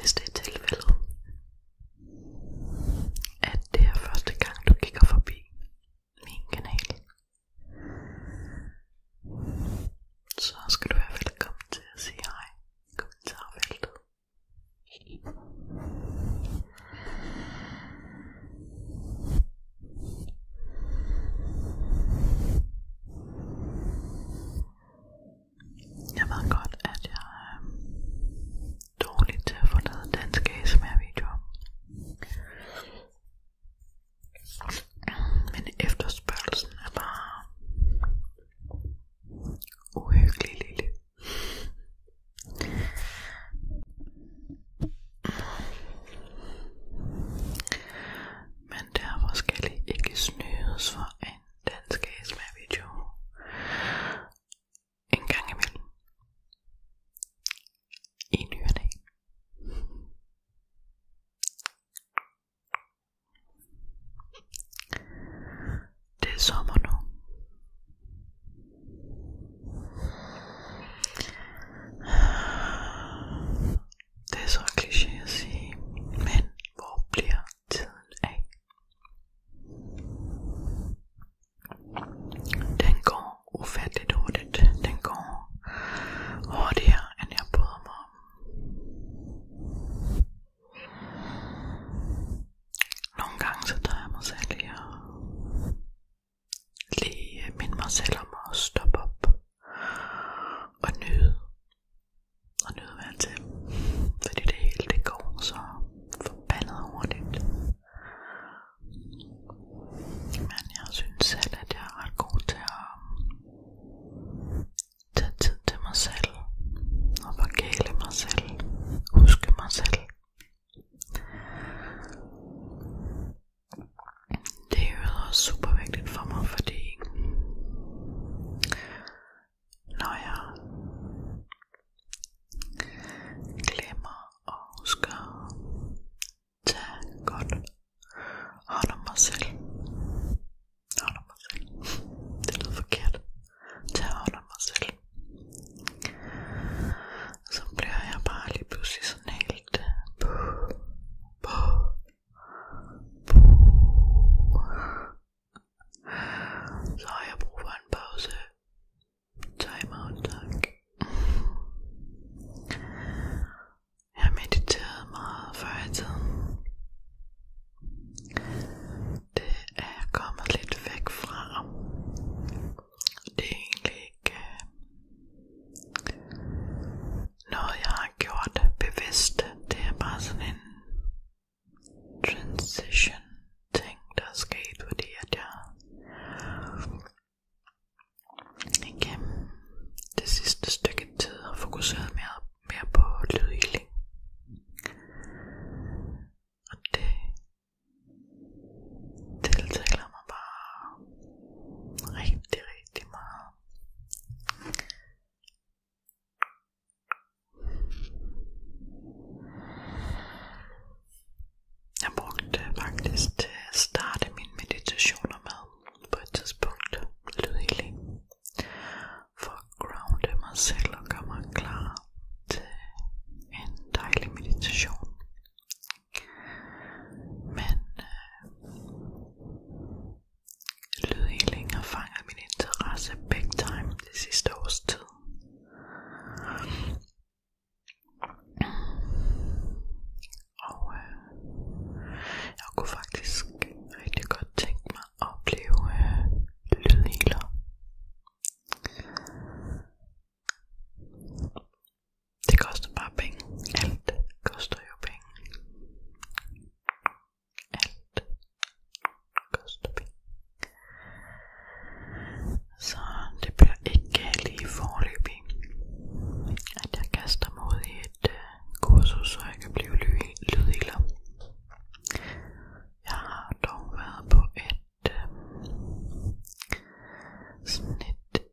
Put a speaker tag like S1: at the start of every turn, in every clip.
S1: Hvis det er tilfældet, at det er første gang du kigger forbi min kanal, så skal du være velkommen til at sige hej i kommentarfeltet. Jeg ved godt, at jeg er øhm, dårlig til at få lavet danske ASMR-videoer. Men efterspørgelsen er bare uhyggelig lille men derfor skal I ikke snydes for en dansk ASMR-video en gang imellem i ny og dag. Det er sommer nu. Det er så kliché at sige, men hvor bliver tiden af? Den går ufatteligt hurtigt. Den går hurtigere, end jeg bryder mig om. Nogle gange så tager jeg mig selv i at lige minde mig selv om at stoppe op og nyde og nyde være til, fordi det hele det går så forbandet hurtigt. Men jeg synes selv, at jeg er ret god til at tage tid til mig selv og forkæle mig selv, huske mig selv. Det er jo også super vigtigt for mig, fordi når jeg glemmer og husker at tage godt hånd om mig selv. Hånd om mig selv. Det lyder forkert. Tage hånd om mig selv. Så bliver jeg bare lige pludselig sådan helt øh, på, på, så har jeg brug for en pause. Time out, tak. Jeg mediterede meget før i tiden. Det er jeg kommet lidt væk fra. Det er egentlig ikke øh, noget jeg har gjort bevidst, det er bare sådan en transition ting, der er sket, fordi at jeg igennem det sidste stykke tid har fokuseret mere, mere på lydhealing. Og det tiltaler mig bare rigtig, rigtig meget. Jeg brugte faktisk til at starte mine meditationer med på et tidspunkt lydhealing for at grounde mig selv og gøre mig klar til en dejlig meditation. Men øh, lydhealing har fanget min interesse big time det sidste års tid. Og øh, jeg kunne faktisk rigtig godt tænke mig at opleve øh, lydhealer. Det koster bare penge. Alt koster jo penge. Alt koster penge. Så det bliver ikke lige forløbig, at jeg kaster mig ud i et uh, kursus, så jeg kan blive lydhilder. Jeg har dog været på et, um, sådan et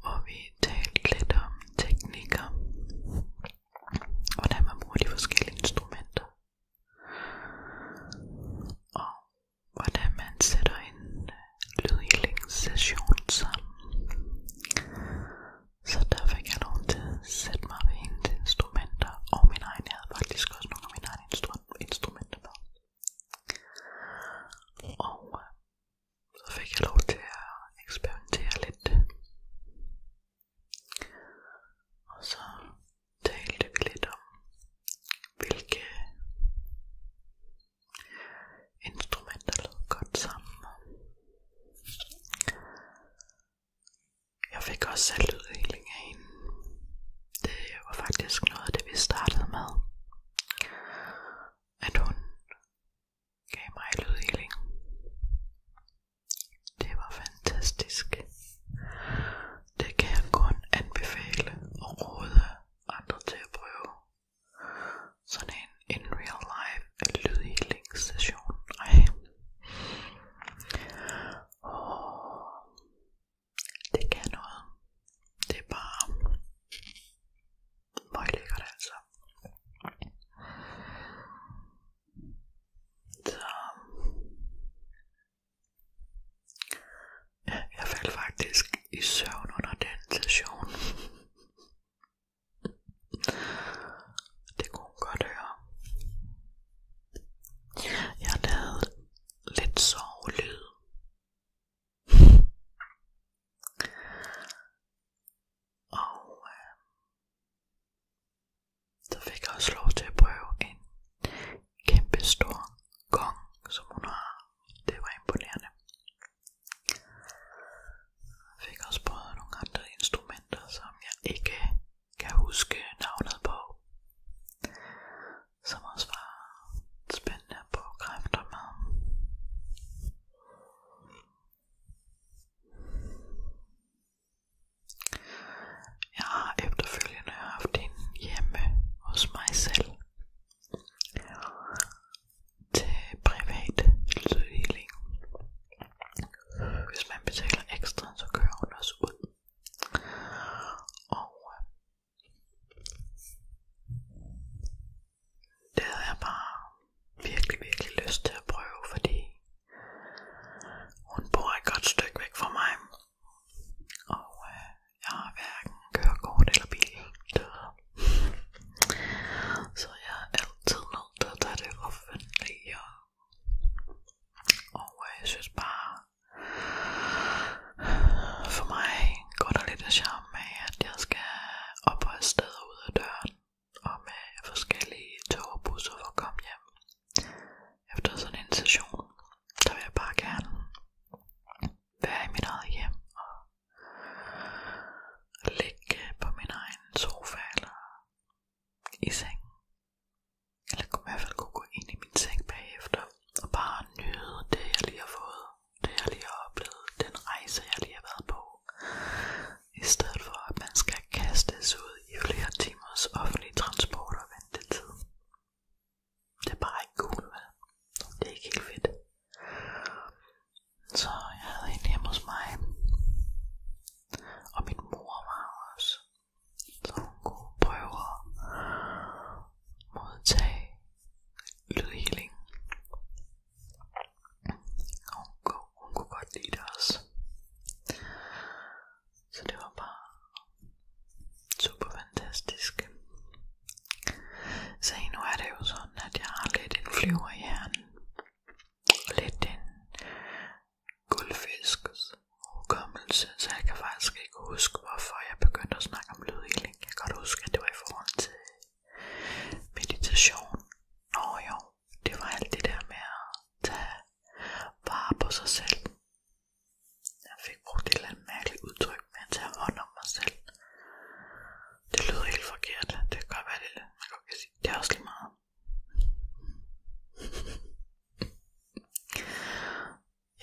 S1: hvor vi talte lidt om teknikker, hvordan man bruger de forskellige instrumenter, og hvordan man sætter en øh, lydhealingssession sammen. Så der fik jeg nogen til at sætte mig ved hendes instrumenter, og min egen, jeg havde faktisk også nogle af mine egne instru instrumenter med. Og øh, så fik jeg lov til at eksperimentere lidt. Og så talte vi lidt om, hvilke instrumenter lød godt sammen. Jeg fik også selv udvikling af hende. Det var faktisk noget af det, vi startede med. At hun gav mig lydhealing. Det var fantastisk. Det kan jeg kun anbefale og råde andre til at prøve. Sådan en in real life lydhealing session. Ej. Oh, det kan noget. Det er bare Møg lækkert altså. Så. Ja, jeg faldt faktisk i søvn under den session. Det kunne hun godt høre. Jeg lavede lidt sovelyd og øh, så fik jeg også lov til at prøve en kæmpe stor gong, som hun har. Det var imponerende. Jeg fik også prøvet nogle andre instrumenter, som jeg ikke kan huske navnet på. Som også var spændende at bruge kræfter med. Jeg har efterfølgende haft en hjemme hos mig selv til privat lydhealing. Hvis man betaler ekstra, så kører hun også ud. Og øh, det havde jeg bare virkelig, virkelig lyst til at prøve, fordi hun bor et godt stykke væk fra mig. Og øh, jeg har hverken kørekort eller bil. Så jeg er altid nødt til at tage det offentlige. Og øh, jeg synes bare, for mig går der lidt af charme med, at jeg skal opholde steder ud af døren og med forskellige tog og busser for at komme hjem. Efter sådan en session, der vil jeg bare gerne være i mit eget hjem og ligge på min egen sofa eller i sengen. Eller i hvert fald kunne gå ind i min seng bagefter og bare nyde det, jeg lige har fået det jeg lige har oplevet, den rejse jeg lige har været på. I stedet for at man skal kastes ud i flere timers offentlig transport og ventetid. Det er bare ikke cool, vel? Det er ikke helt fedt. Så jeg havde en hjemme hos mig. Og min mor var også. Så hun kunne prøve at modtage lydhealing. Og hun kunne, godt det også. Så det var bare super fantastisk. Så nu er det jo sådan, at jeg flyver i hjernen. lidt en guldfisk hukommelse, så jeg kan faktisk kan ikke huske, hvorfor jeg begyndte at snakke om lydhealing. Jeg kan godt huske, at det var i forhold til meditation. Nå jo, det var alt det der med at tage vare på sig selv. Jeg fik brugt et eller andet mærkeligt udtryk med at tage hånd om mig selv. Det lyder helt forkert. Det kan godt være, det, man godt kan sige. det er også lige meget.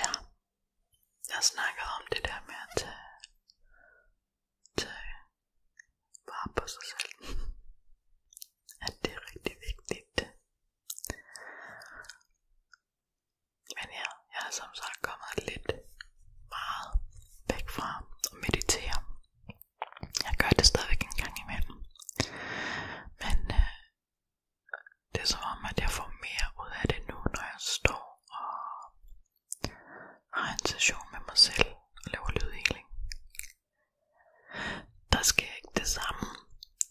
S1: ja, jeg snakkede om det der med at tage, tage på sig selv. At det er rigtig vigtigt. Men ja, jeg er som kommet lidt meget væk fra at Jeg gør det stadigvæk en gang imellem. Men øh, det er som om, at jeg får mere ud af det nu, når jeg står og har en session med mig selv og laver lydhealing. Der sker ikke det samme,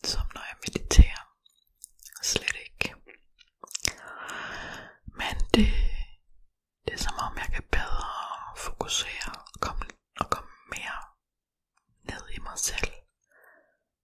S1: som når jeg mediterer. Slet ikke. Men det, det er som om, jeg kan bedre fokusere og komme, og komme mere ned i mig selv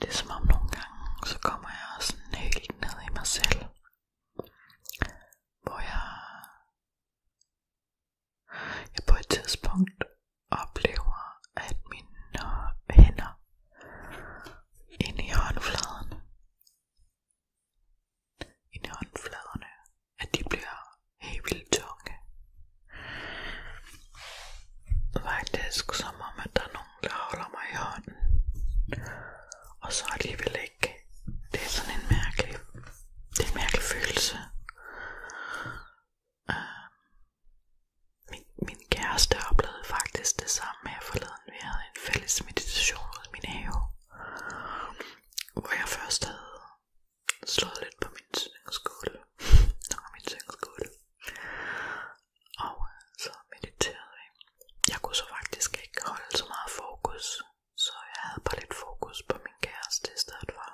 S1: Det er som om nogle gange, så kommer jeg sådan helt ned i mig selv. Hvor jeg, jeg på et tidspunkt oplever, at mine hænder inde i håndfladen, inde i håndfladerne, at de bliver helt vildt tunge. Faktisk som om, at der er nogen, der holder mig i hånden. Og så alligevel ikke. Det er sådan en mærkelig, det er en mærkelig følelse. Uh, min, min kæreste oplevede faktisk det samme her forleden. Vi havde en fælles meditation ude i min have. Hvor jeg først havde slået lidt på min syngskål. Nå, min syngskål. Og øh, så mediterede vi. Jeg kunne så faktisk ikke holde så meget fokus, så jeg havde bare lidt fokus på min kæreste i stedet for.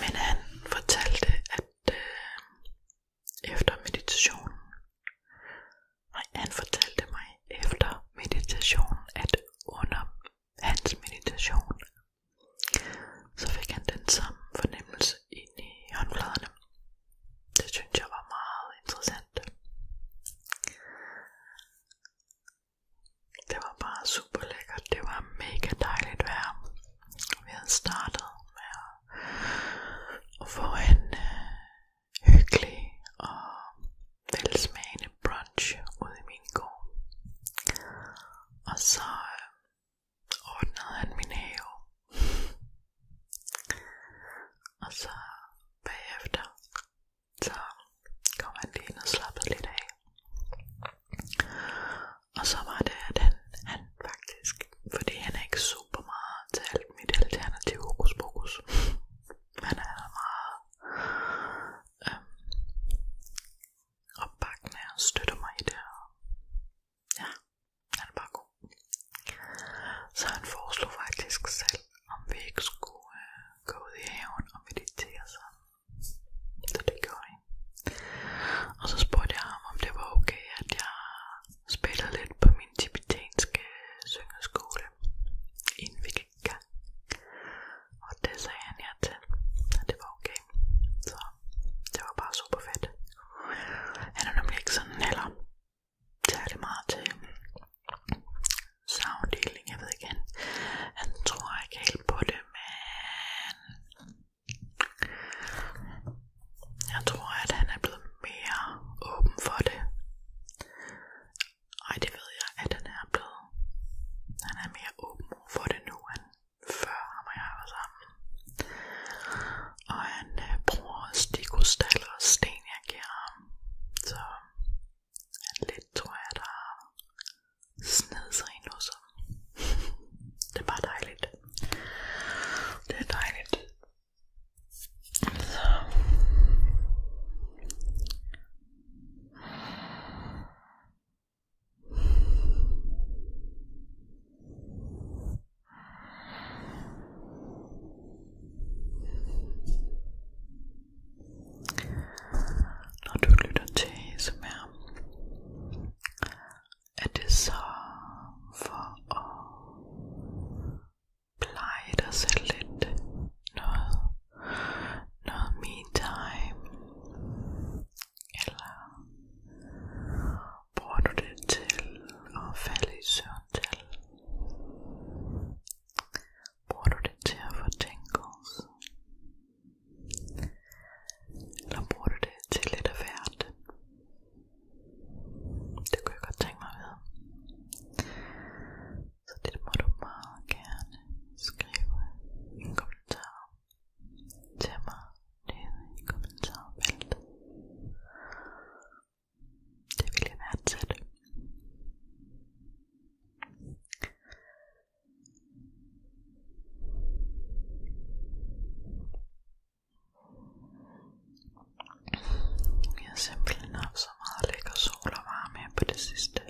S1: Men han fortalte, at øh, efter meditationen, nej, han fortalte mig efter meditationen, at under hans meditation så fik han den samme fornemmelse ind i håndfladerne. Det synes jeg var meget interessant. Det var bare super lækkert. Det var mega dejligt vejr. Vi havde startet med at få øh, hyggelig og velsmagende til brunch ude i min gård. Og så øh, ordnede han min have. og så bagefter, så kom han lige ind og slappede lidt af. Og så var det, at han, han faktisk, fordi han er ikke super meget til alt mit alternative hokus pokus, han er meget øhm, opbakken af og støtter mig i det her. Ja, han er bare god. Så han foreslog faktisk selv, om vi ikke skulle øh, gå ud i haven og meditere sammen. Så det gjorde jeg. Og så spurgte jeg ham, om det var okay, at jeg spillede lidt på min tibetanske syngeskole, inden vi gik i gang. Og det sagde han ja til, og det var okay. Så det var bare super fedt. Han er nemlig ikke sådan heller særlig meget til savndeling, jeg ved ikke, han, han tror ikke helt på det, men jeg tror, at han er blevet mere åben for det. Ej, det ved jeg, at han er blevet. Han er mere åben for det nu, end før ham og jeg var sammen. Og han øh, bruger stikkostaller og sten, jeg giver ham. Så han lidt tror jeg, der har snedet sig ind hos ham. det er bare dejligt. Det er dejligt. Så. Når du lytter til ASMR, er det så for at pleje dig selv lidt noget noget me time? Eller bruger du det til at falde i søvn til? Bruger du det til at få tingles? Eller bruger du det til lidt af hvert? Det kunne jeg godt tænke mig at vide. Så det må du meget gerne skrive en kommentar til mig nede i kommentarfeltet. Det vil jeg værdsætte. Jeg har simpelthen haft så meget lækker sol og varme her på det sidste.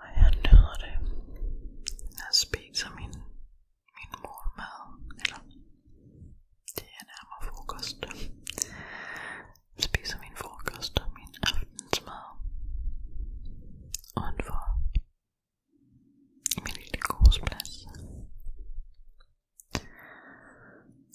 S1: Og jeg nyder det. Jeg spiser min, min morgenmad, eller det er nærmere frokost. Jeg spiser min frokost og min aftensmad udenfor i min lille gårdsplads.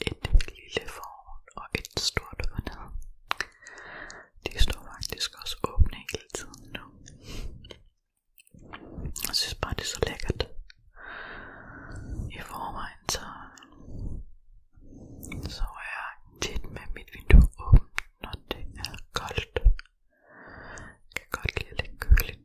S1: et lille foran og et stort forneden. De står faktisk også åbne hele tiden nu. Jeg synes bare det er så lækkert. I forvejen så, så er jeg tit med mit vindue åbent, når det er koldt. Jeg kan godt lide lidt køligt.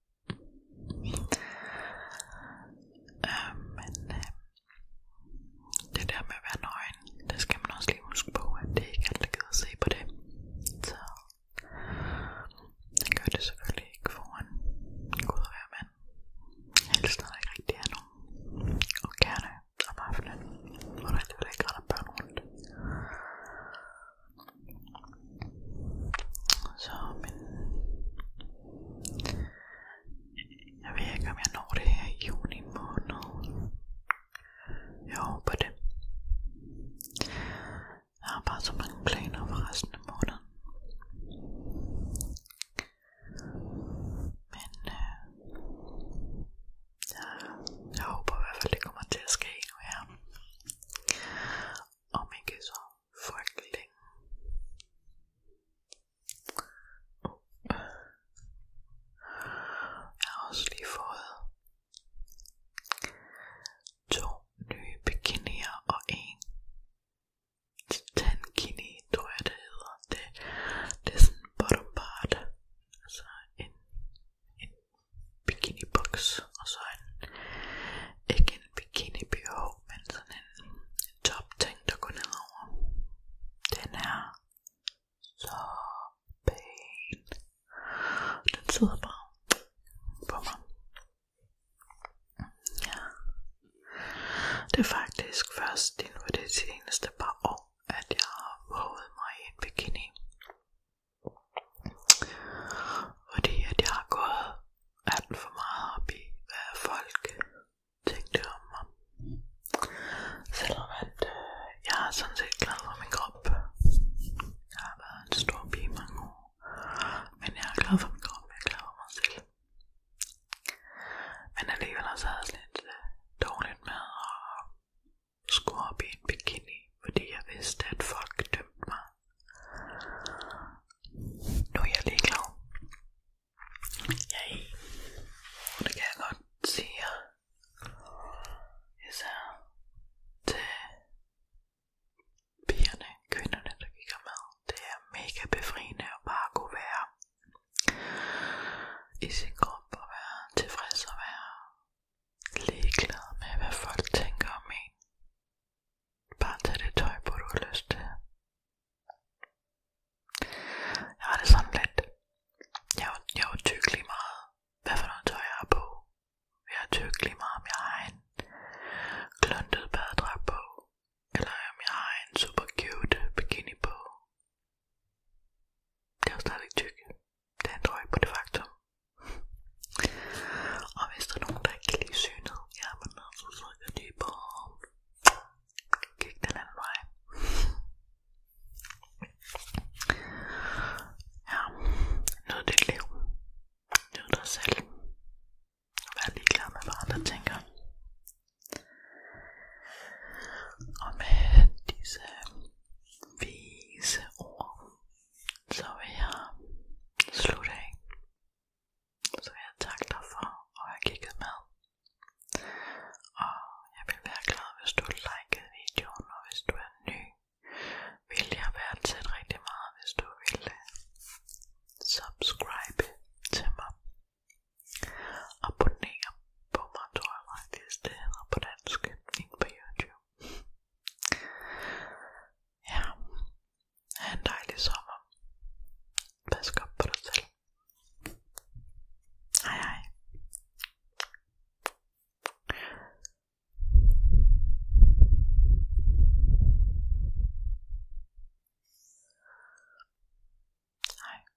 S1: Øh, men øh, det der med at være nøgen, det skal man også lige huske på, at det ikke er alt, der gider at se på det. Så man gør det selvfølgelig ikke foran Gud at være mand. Helst når der ikke rigtig er nogen. Og gerne om aftenen, hvor der alligevel ikke retter børn rundt. Så, men... Jeg ved ikke, om jeg når det her i juni måned. Jeg håber det. Jeg har bare så mange planer for resten af måneden. Men øh, jeg, jeg håber i hvert fald, det kommer til at ske nu her om ikke så frygtelig længe. Uh. Jeg har også lige fået to nye bikinier og en tankini, tror jeg det hedder. Det, det er sådan bottom part, altså en, en bikini boks og så en, ikke en bikini bh, men sådan en, en top ting der går nedover. Den er så pæn. Den sidder bare på mig. Ja. Det er faktisk først inden for det seneste par år, at jeg har våget mig i en bikini. Fordi at jeg har gået alt for meget op i, hvad folk tænkte om mig. Selvom at øh, jeg er sådan set glad for min krop. Jeg har været en stor pige mange år. Men jeg er glad for min krop, jeg er glad for mig selv. Men alligevel har jeg sådan lidt øh, dårligt med at skulle op i en bikini, fordi jeg vidste, at folk dømte mig. Nu er jeg ligeglad. Jeg er i. Det kan jeg godt sige jer. Især til pigerne, kvinderne, der gik med. Det er mega befriende at bare kunne være i sin krop og være tilfreds og være ligeglad med, hvad folk tænker om en. Bare tag det tøj på, du har lyst til. Jeg har det sådan lidt. Jeg er, jeg er tykkelig meget, hvad for noget tøj jeg har på. Jeg er tykkelig meget, om jeg har en kluntet badedrag på. Eller om jeg har en super cute bikini på. Det er jo stadigvæk tyk. Det ændrer ikke på det faktum. Og hvis der er nogen, der ikke kan lide synet, jamen så trykker de på kig den anden vej. Ja, nyd dit liv. Nyd dig selv. Vær ligeglad med, hvad andre tænker. Og med disse vise ord, så vil jeg slutte af. Så vil jeg takke dig for at have kigget med. Og jeg vil være glad, hvis du likede videoen, og hvis du er ny, vil jeg være til rigtig meget, hvis du vil øh, subscribe til mig. Abonnere på mig, tror jeg faktisk det hedder på dansk, ikke på YouTube. Ja, ha' en dejlig sommer. Pas godt på dig selv. Hej hej. Hej.